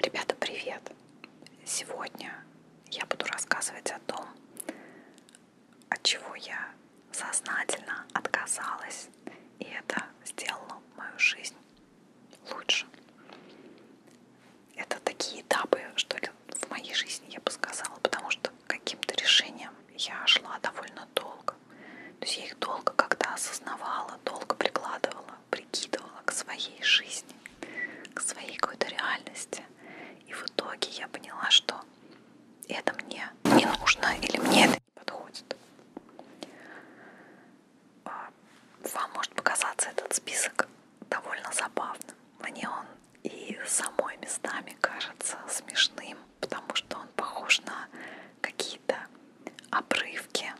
Ребята, привет! Сегодня я буду рассказывать о том, от чего я сознательно отказалась, и это сделало мою жизнь лучше. Это такие этапы, что ли, в моей жизни, я бы сказала, потому что каким-то решением я шла довольно долго. То есть я их долго как-то осознавала, долго прикладывала прикидывала к своей жизни, к своей какой-то реальности. И в итоге я поняла, что это мне не нужно или мне это не подходит. А, вам может показаться этот список довольно забавным. Мне он и самой местами кажется смешным, потому что он похож на какие-то обрывки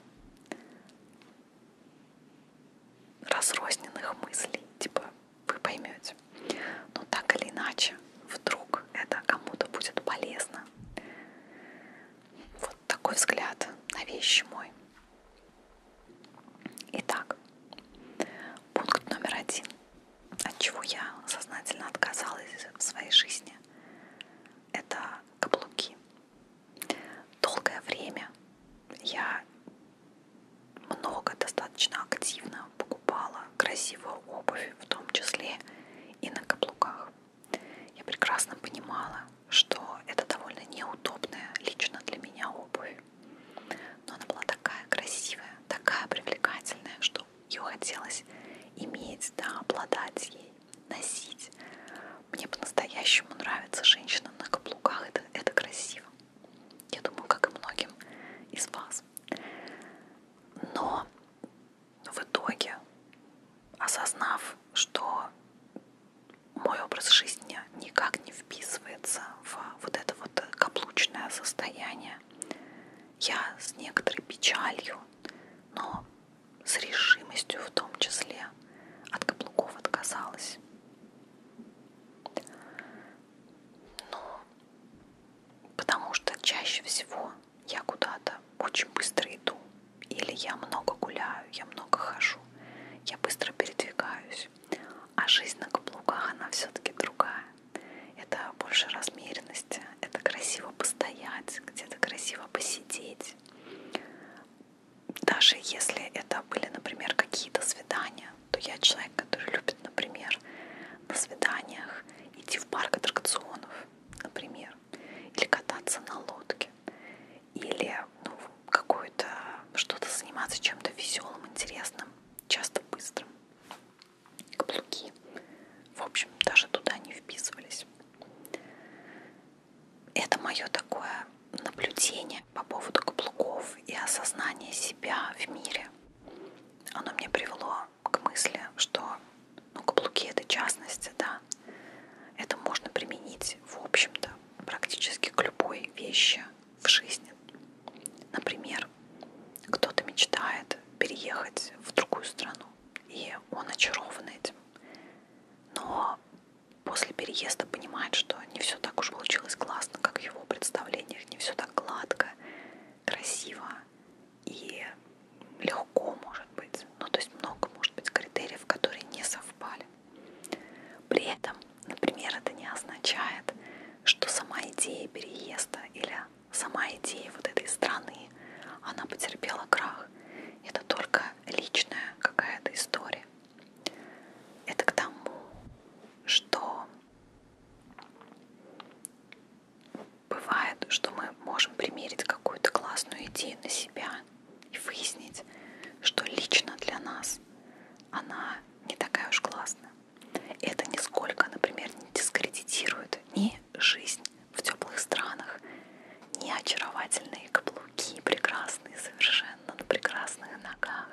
разрозненных мыслей, типа вы поймете. Но так или иначе, вдруг это кому-то будет полезно. Вот такой взгляд на вещи мой. Итак, пункт номер один, от чего я сознательно отказалась в своей жизни, это каблуки долгое время я много, достаточно активно покупала красивую обувь, в том числе и на каблуках. Я прекрасно понимала, что это довольно неудобная лично для меня обувь. Но она была такая красивая, такая привлекательная, что ее хотелось иметь, да, обладать ей, носить. Мне по-настоящему нравится женщина на каблуках. Это, это красиво. Я думаю, как и многим из вас. Но в итоге, осознав, что мой образ жизни никак не вписывается в вот это вот каблучное состояние, я с некоторой печалью, но с решимостью в том числе от каблуков отказалась. Но ну, потому что чаще всего я куда-то очень быстро иду. Или я много гуляю, я много хожу, я быстро передвигаюсь. А жизнь на каблуках, она все-таки другая. Это больше размеренности, это красиво постоять, где-то красиво посидеть, даже если это были, например, какие-то свидания, то я человек, который любит, например, на свиданиях идти в парк аттракционов, например, или кататься на лодке, или ну, какое-то что-то заниматься чем-то веселым, интересным, часто быстрым. Каблуки. В общем, даже туда не вписывались это мое такое наблюдение по поводу каблуков и осознание себя в мире. Оно мне привело к мысли, что ну, каблуки это частности, да, это можно применить, в общем-то, практически к любой вещи в жизни. Например, кто-то мечтает переехать в другую страну, и он очарован этим. Но после переезда понимает, что не все так уж получилось классно, как в его представлениях, не все так гладко, красиво и легко, может быть. Ну, то есть много, может быть, критериев, которые не совпали. При этом, например, это не означает, что сама идея переезда или сама идея вот этой страны, она потерпела крах. Это только личная какая-то история. Это к тому, что бывает, что мы можем примерить какую-то классную идею на себя и выяснить, что лично для нас она не такая уж классная. Это нисколько, например, не дискредитирует ни жизнь в теплых странах, ни очаровательные каблуки, прекрасные совершенно но на прекрасных ногах.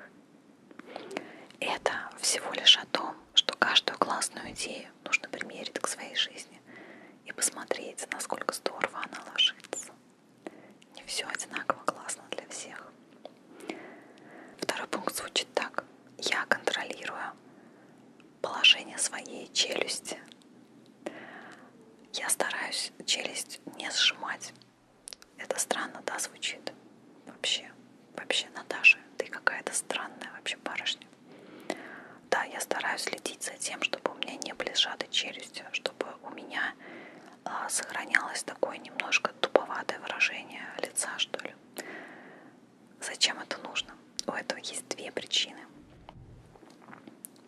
Это всего лишь о том, что каждую классную идею нужно примерить к своей жизни и посмотреть, насколько здорово она ложится. Не все одинаково классно для всех. Второй пункт звучит так. Я контролирую положение своей челюсти я стараюсь челюсть не сжимать. Это странно, да, звучит? Вообще, вообще, Наташа, ты какая-то странная вообще барышня. Да, я стараюсь следить за тем, чтобы у меня не были сжаты челюсти, чтобы у меня а, сохранялось такое немножко туповатое выражение лица, что ли. Зачем это нужно? У этого есть две причины.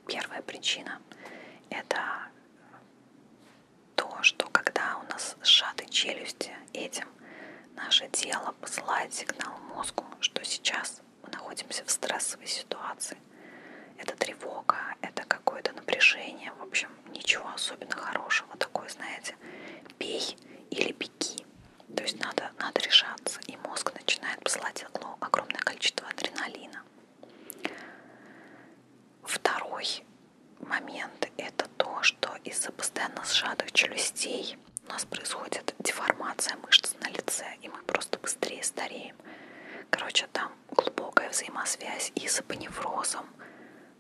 Первая причина – это то, что когда у нас сжаты челюсти этим, наше тело посылает сигнал мозгу, что сейчас мы находимся в стрессовой ситуации. Это тревога, это какое-то напряжение, в общем, ничего особенно хорошего. Такое, знаете, бей или беги. То есть надо, надо решаться. И мозг начинает посылать огромное количество адреналина. Второй момент – это то, что из-за постоянно сжатых челюстей у нас происходит деформация мышц на лице, и мы просто быстрее стареем. Короче, там глубокая взаимосвязь и с апоневрозом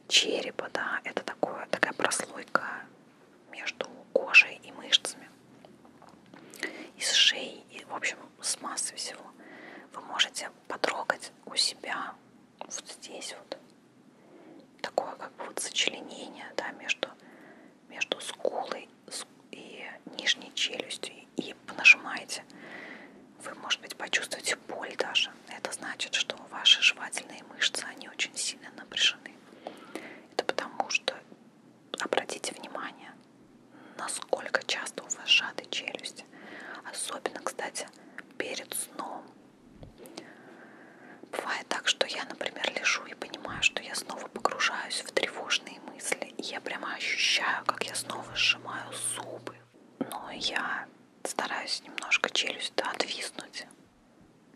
черепа, да, это такое, такая прослойка между кожей и мышцами, и с шеей, и, в общем, с массой всего. Вы можете потрогать у себя вот здесь вот такое как бы вот сочленение да, между, между скулой и нижней челюстью и понажимаете вы может быть почувствуете боль даже это значит что ваши жевательные мышцы они очень сильно напряжены это потому что обратите внимание насколько часто у вас сжаты челюсти. Особенно, кстати, перед сном. Бывает так, что я, например, лежу и понимаю, что я снова погружаюсь в тревожные мысли. И я прямо ощущаю, как я снова сжимаю зубы. Но я стараюсь немножко челюсть да, отвиснуть.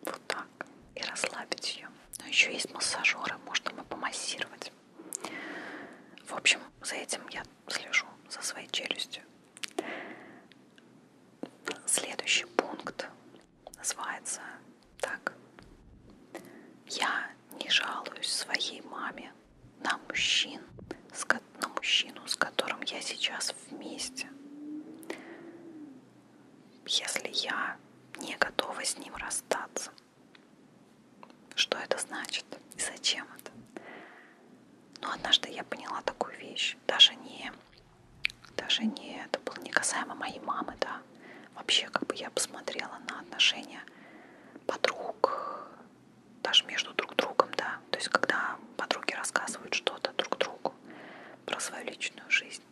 Вот так. И расслабить ее. Но еще есть массажеры, можно мы помассировать. В общем, за этим я слежу, за своей челюстью. Следующий пункт называется так. Я не жалуюсь своей маме на мужчин, на мужчину, с которым я сейчас вместе. Если я не готова с ним расстаться. Что это значит и зачем это? Но ну, однажды я поняла такую вещь. Даже не, даже не, это было не касаемо моей мамы, да. Вообще, как бы я посмотрела на отношения подруг, даже между друг другом, да. То есть, когда подруги рассказывают что-то друг другу про свою личную жизнь.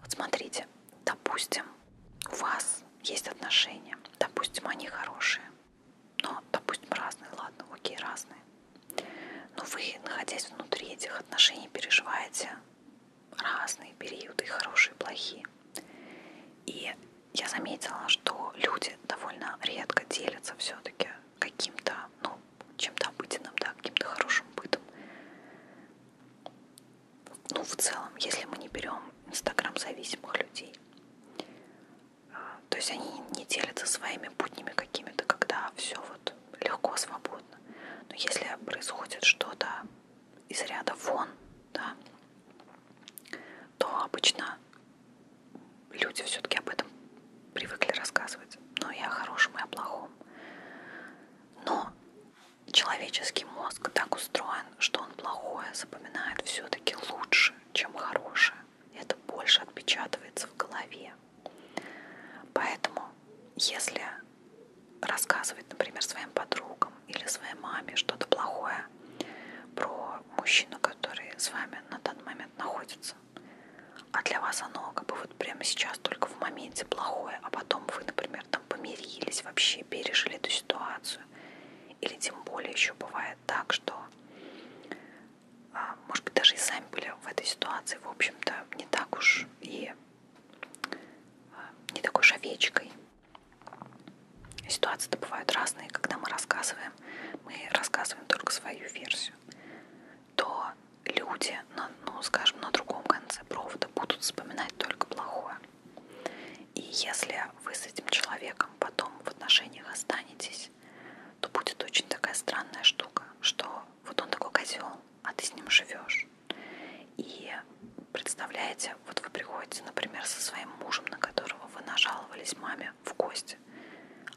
Вот смотрите, допустим, у вас есть отношения, допустим, они хорошие, но, допустим, разные, ладно, окей, разные, но вы, находясь внутри этих отношений, переживаете разные периоды, хорошие, плохие. И я заметила, что люди довольно редко делятся все-таки каким-то, ну, чем-то обыденным, да, каким-то хорошим бытом ну, в целом, если мы не берем Инстаграм зависимых людей. А, то есть они не делятся своими буднями какими-то, когда все вот легко, свободно. Но если происходит что-то из ряда вон, да, то обычно люди все-таки об этом привыкли рассказывать. Но и о хорошем, и о плохом. Но человеческий мозг так устроен, что он плохое запоминает все-таки лучше, чем хорошее. Это больше отпечатывается в голове. Поэтому, если рассказывать, например, своим подругам или своей маме что-то плохое про мужчину, который с вами на данный момент находится, а для вас оно как бы вот прямо сейчас только в моменте плохое, а потом вы, например, там помирились, вообще пережили эту ситуацию, или тем более еще бывает так, что, а, может быть, даже и сами были в этой ситуации, в общем-то, не так уж и а, не такой уж овечкой. Ситуации-то бывают разные, когда мы рассказываем, мы рассказываем только свою версию, то люди, на, ну, скажем, на другом конце провода будут вспоминать только плохое. И если вы с этим человеком потом в отношениях останетесь, то будет очень такая странная штука, что вот он такой козел, а ты с ним живешь. И представляете, вот вы приходите, например, со своим мужем, на которого вы нажаловались маме в гости.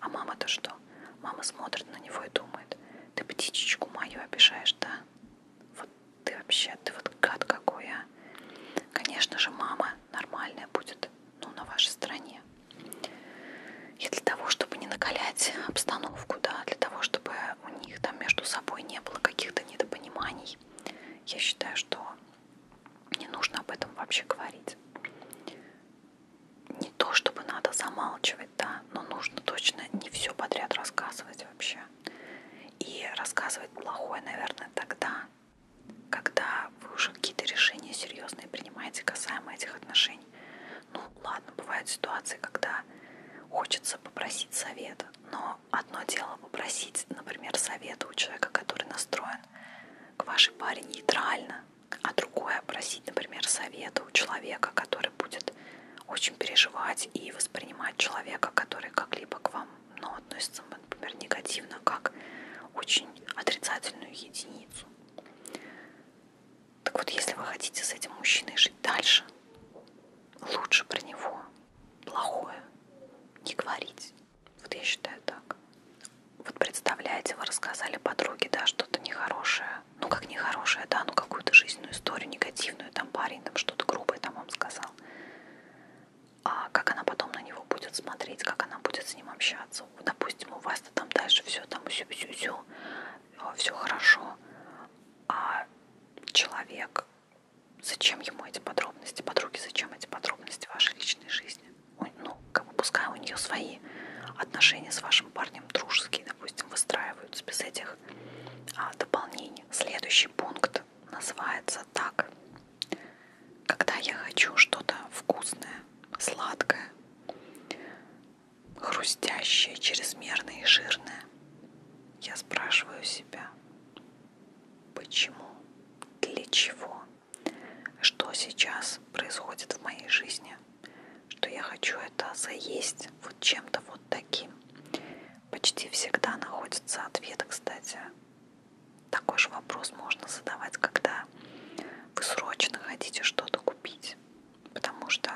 А мама-то что? Мама смотрит на него и думает, ты птичечку мою обижаешь, да? вот ты вообще, ты вот гад какой, а. Конечно же, мама нормальная будет, ну, на вашей стороне. И для того, чтобы не накалять обстановку, да, для того, чтобы у них там между собой не было каких-то недопониманий, я считаю, что не нужно об этом вообще говорить. Не то, чтобы надо замалчивать, да, но нужно точно не все подряд рассказывать вообще. И рассказывать плохое, наверное, тогда, когда вы уже какие-то решения серьезные принимаете касаемо этих отношений. Ну, ладно, бывают ситуации, когда хочется попросить совета, но одно дело попросить, например, совета у человека, который настроен к вашей паре нейтрально, а другое просить, например, совета у человека, который будет очень переживать и воспринимать человека, который как-либо к вам но ну, относится, например, негативно как очень отрицательную единицу. Так вот, если вы хотите с этим мужчиной жить дальше, лучше про него плохое не говорить. Вот я считаю так. Вот представляете, вы рассказали подруге, да, что-то нехорошее. Ну, как нехорошее, да, ну какую-то жизненную историю негативную. Там парень там что-то грубое там вам сказал а как она потом на него будет смотреть, как она будет с ним общаться. Допустим, у вас-то там дальше все там усю усю усю все хорошо, а человек, зачем ему эти подробности, подруги, зачем эти подробности вашей личной жизни? Ну, как бы пускай у нее свои отношения с вашим парнем дружеские, допустим, выстраиваются без этих а, дополнений. Следующий пункт рецепт называется так. Когда я хочу что-то вкусное, сладкое, хрустящее, чрезмерное и жирное, я спрашиваю себя, почему, для чего, что сейчас происходит в моей жизни, что я хочу это заесть вот чем-то вот таким. Почти всегда находится ответ, кстати, такой же вопрос можно задавать, когда вы срочно хотите что-то купить. Потому что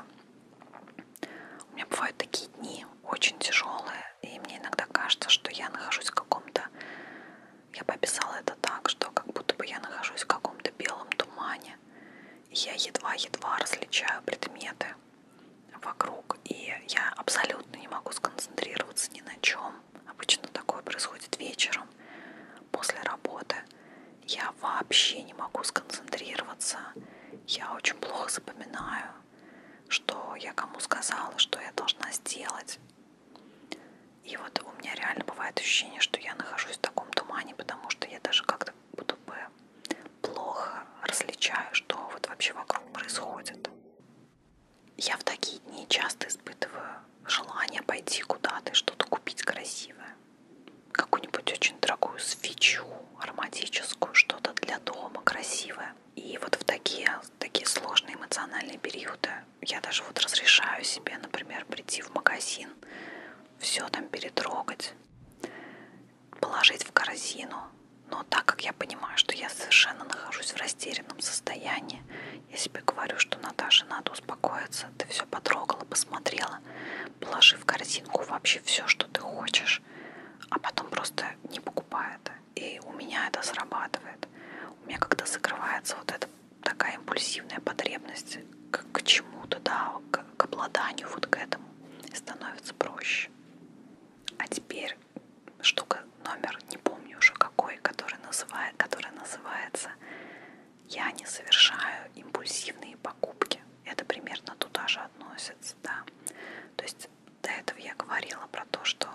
у меня бывают такие дни очень тяжелые, и мне иногда кажется, что я нахожусь в каком-то... Я бы описала это так, что как будто бы я нахожусь в каком-то белом тумане. И я едва-едва различаю предметы вокруг, и я абсолютно не могу сконцентрироваться ни на чем. Обычно такое происходит вечером, после работы. Я вообще не могу сконцентрироваться. Я очень плохо запоминаю, что я кому сказала, что я должна сделать. И вот у меня реально бывает ощущение, что я нахожусь в таком тумане, потому что я даже как-то будто бы плохо различаю, что вот вообще вокруг происходит. Я в такие дни часто испытываю желание пойти куда-то и что-то купить красивое. Какую-нибудь очень дорогую свечу, ароматическую, что-то для дома красивое. И вот в такие, такие сложные эмоциональные периоды я даже вот разрешаю себе, например, прийти в магазин, все там перетрогать, положить в корзину, но так как я понимаю, что я совершенно нахожусь в растерянном состоянии, я себе говорю, что Наташа, надо успокоиться, ты все потрогала, посмотрела, положи в корзинку вообще все, что ты хочешь, а потом просто не покупай это. И у меня это срабатывает. У меня когда закрывается вот эта такая импульсивная потребность к, к чему-то, да, к, к обладанию вот к этому, становится проще. А теперь штука номер, не помню уже какой, который называет, которая называется «Я не совершаю импульсивные покупки». Это примерно туда же относится, да. То есть до этого я говорила про то, что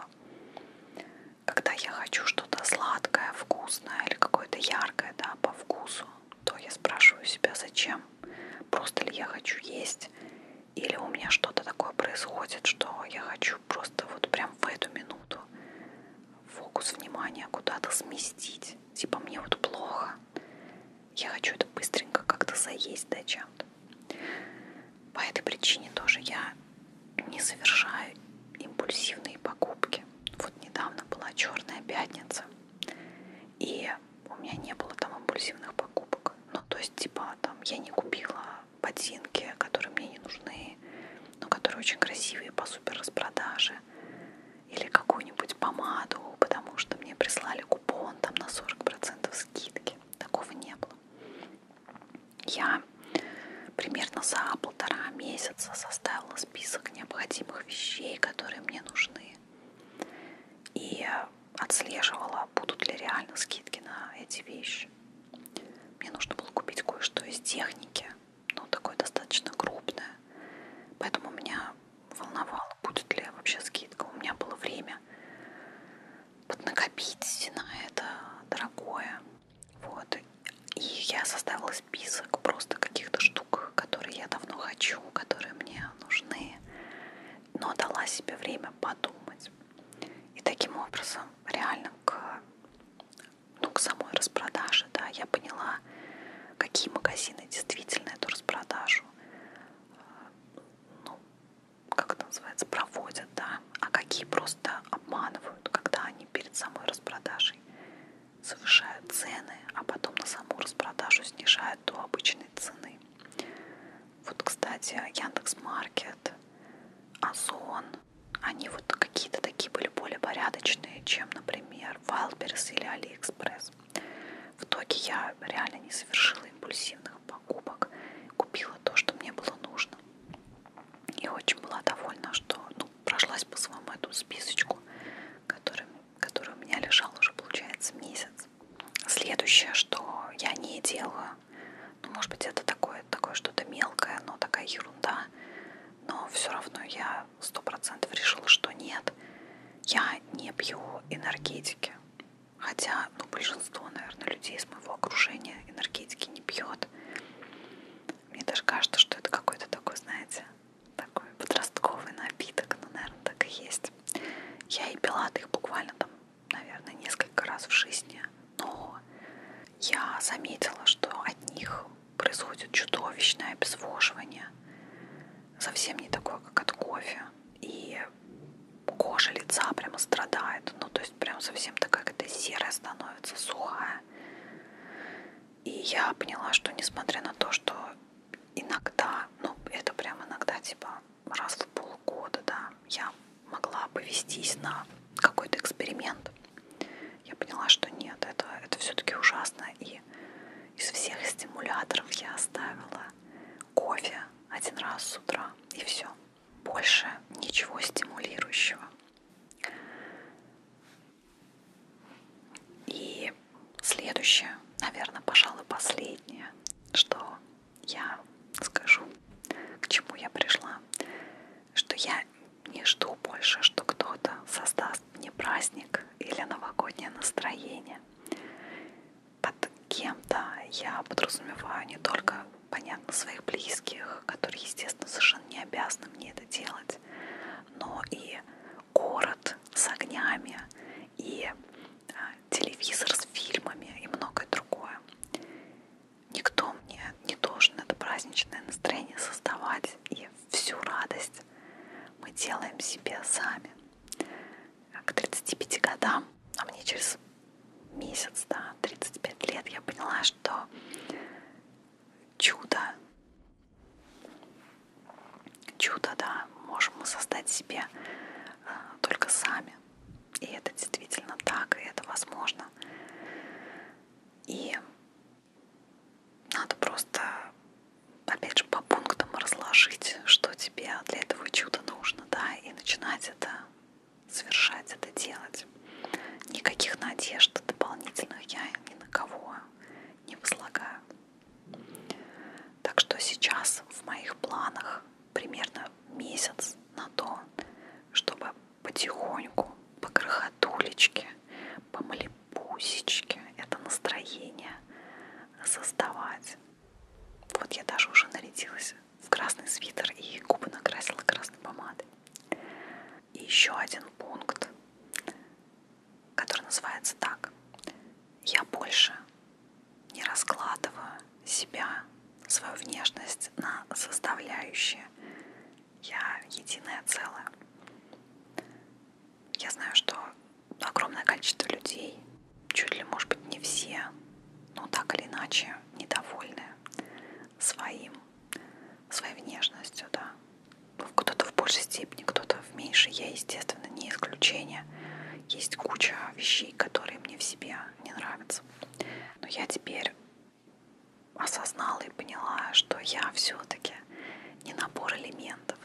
когда я хочу что-то сладкое, вкусное или какое-то яркое, да, по вкусу, то я спрашиваю себя, зачем? Просто ли я хочу есть? или у меня что-то такое происходит, что я хочу просто вот прям в эту минуту фокус внимания куда-то сместить. Типа мне вот плохо. Я хочу это быстренько как-то заесть да чем-то. По этой причине тоже я не совершаю импульсивные покупки. Вот недавно была черная пятница, и у меня не было там импульсивных покупок. Ну, то есть, типа, там я не купила ботинки, которые мне не нужны, но которые очень красивые по супер распродаже. Или какую-нибудь помаду, потому что мне прислали купон там на 40% скидки. Такого не было. Я примерно за полтора месяца составила список необходимых вещей, которые мне нужны. И отслеживала будут ли реально скидки на эти вещи. Мне нужно было купить кое-что из техники, но такое достаточно крупное. Поэтому меня волновало, будет ли вообще скидка. У меня было время поднакопить на это дорогое. Вот. И я составила список просто каких-то штук, которые я давно хочу, которые мне нужны. Но дала себе время подумать. И таким образом, реально к, ну, к самой распродаже, да, я поняла, какие магазины действительно эту распродажу, э, ну, как это называется, проводят, да, а какие просто обманывают, когда они перед самой распродажей завышают цены, а потом на саму распродажу снижают до обычной цены. Вот, кстати, Яндекс Маркет, Озон, они вот какие-то такие были более порядочные, чем, например, Вайлдберрис или Алиэкспресс. В итоге я реально не совершила импульсивных покупок, купила то, что мне было нужно. И очень была довольна, что ну, прошлась по своему эту списочку, который, который у меня лежал уже, получается, месяц. Следующее, что я не делаю, ну, может быть, это такое, такое что-то мелкое, но такая ерунда. Но все равно я сто процентов решила, что нет. Я не пью энергетики. Хотя, ну, большинство, наверное, людей из моего окружения энергетики не пьет. Мне даже кажется, что это какой-то такой, знаете, такой подростковый напиток. Ну, наверное, так и есть. Я и пила их буквально там наверное, несколько раз в жизни, но я заметила, что от них происходит чудовищное обезвоживание, совсем не такое, как от кофе, и кожа лица прямо страдает, ну то есть прям совсем такая какая-то серая становится, сухая. И я поняла, что несмотря на то, что иногда, ну это прям иногда типа раз в пол полгода, да, я могла повестись на какой-то эксперимент. Я поняла, что нет, это, это все-таки ужасно. И из всех стимуляторов я оставила кофе один раз с утра, и все. Больше ничего стимулирующего. И следующее, наверное, пожалуй, последнее, что я скажу, к чему я пришла, что я не жду больше, что кто-то создаст мне праздник или новогоднее настроение. Под кем-то я подразумеваю не только, понятно, своих близких, которые, естественно, совершенно не обязаны мне это делать, но и город с огнями, и а, телевизор с фильмами, и многое другое никто мне не должен это праздничное настроение создавать. И всю радость мы делаем себе сами. К 35 годам, а мне через месяц, да, 35 лет, я поняла, что чудо, чудо, да, можем мы создать себе э, только сами. И это действительно так, и это возможно. И надо просто, опять же, по пунктам разложить, что тебе для этого чуда нужно, да, и начинать это совершать, это делать. Никаких надежд дополнительных я ни на кого не возлагаю. Так что сейчас в моих планах примерно месяц на то, чтобы потихоньку, по крохотулечке, по малипусечке это настроение создавать. Вот я даже уже нарядилась в красный свитер и губы накрасила красной помадой. И еще один пункт, который называется так. Я больше не раскладываю себя, свою внешность на составляющие. Я единое целое. Я знаю, что огромное количество людей, чуть ли, может быть, не все, но так или иначе недовольны своим, своей внешностью, да. Ну, кто-то в большей степени, кто-то в меньшей. Я, естественно, не исключение. Есть куча вещей, которые мне в себе не нравятся. Но я теперь осознала и поняла, что я все-таки не набор элементов,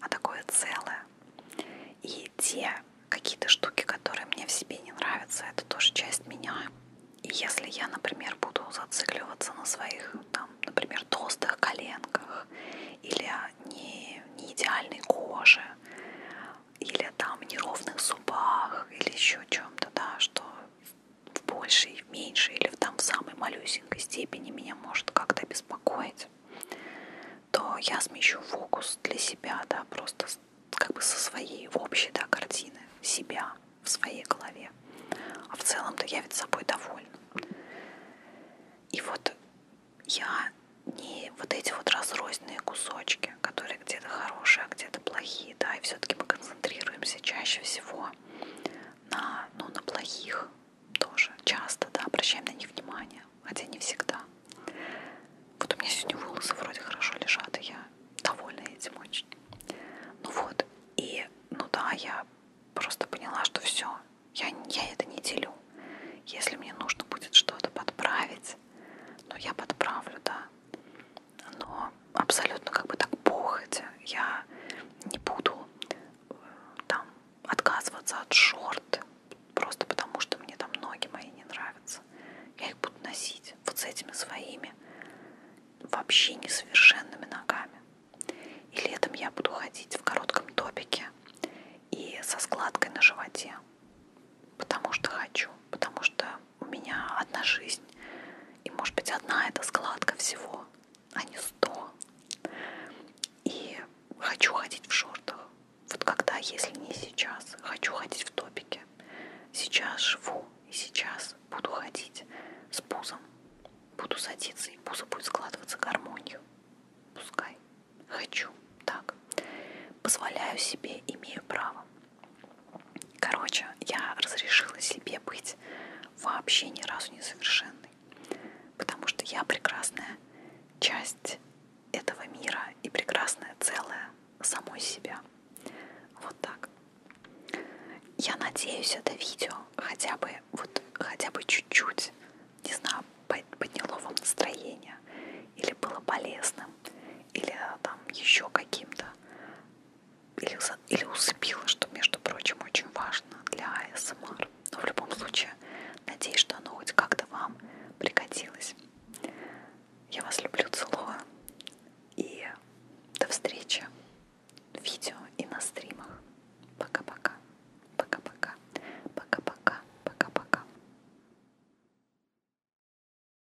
а такое целое. И те какие-то штуки, которые мне в себе не нравятся, это тоже часть меня. И если я, например, буду зацикливаться на своих, там, например, толстых коленках или не, не идеальной коже, или о там неровных зубах, или еще чем-то, да, что в большей, в меньшей или в там в самой малюсенькой степени меня может как-то беспокоить, то я смещу фокус для себя, да, просто как бы со своей в общей, да, картины себя в своей голове. А в целом-то я ведь собой довольна. И вот я не вот эти вот разрозненные кусочки, которые роли, где-то хорошие, а где-то плохие, да, и все-таки мы концентрируемся чаще всего на, ну, на плохих тоже, часто, да, обращаем на них внимание, хотя не всегда. Вот у меня сегодня волосы вроде хорошо лежат, и я довольна этим очень. Ну вот, и, ну да, я просто поняла, что все, я, я это не делю. Если мне нужно будет что-то подправить, ну я подправлю, да но абсолютно как бы так похоть. Я не буду э, там отказываться от шорт просто потому, что мне там ноги мои не нравятся. Я их буду носить вот с этими своими вообще несовершенными ногами. И летом я буду ходить в коротком топике и со складкой на животе. Потому что хочу, потому что у меня одна жизнь, и может быть одна эта складка всего, а не сто. И хочу ходить в шортах. Вот когда, если не сейчас, хочу ходить в топике. Сейчас живу и сейчас буду ходить с пузом. Буду садиться, и пузо будет складываться гармонию. Пускай. Хочу. Так. Позволяю себе, имею право. Короче, я разрешила себе быть вообще ни разу несовершенной, потому что я прекрасная часть этого мира и прекрасное целое самой себя. Вот так. Я надеюсь, это видео хотя бы вот хотя бы чуть-чуть, не знаю, подняло вам настроение, или было полезным, или там еще каким-то или, или усыпила, что, между прочим, очень важно для АСМР. Но в любом случае, надеюсь, что оно хоть как-то вам пригодилось. Я вас люблю, целую. И до встречи в видео и на стримах. Пока-пока. Пока-пока. Пока-пока. Пока-пока.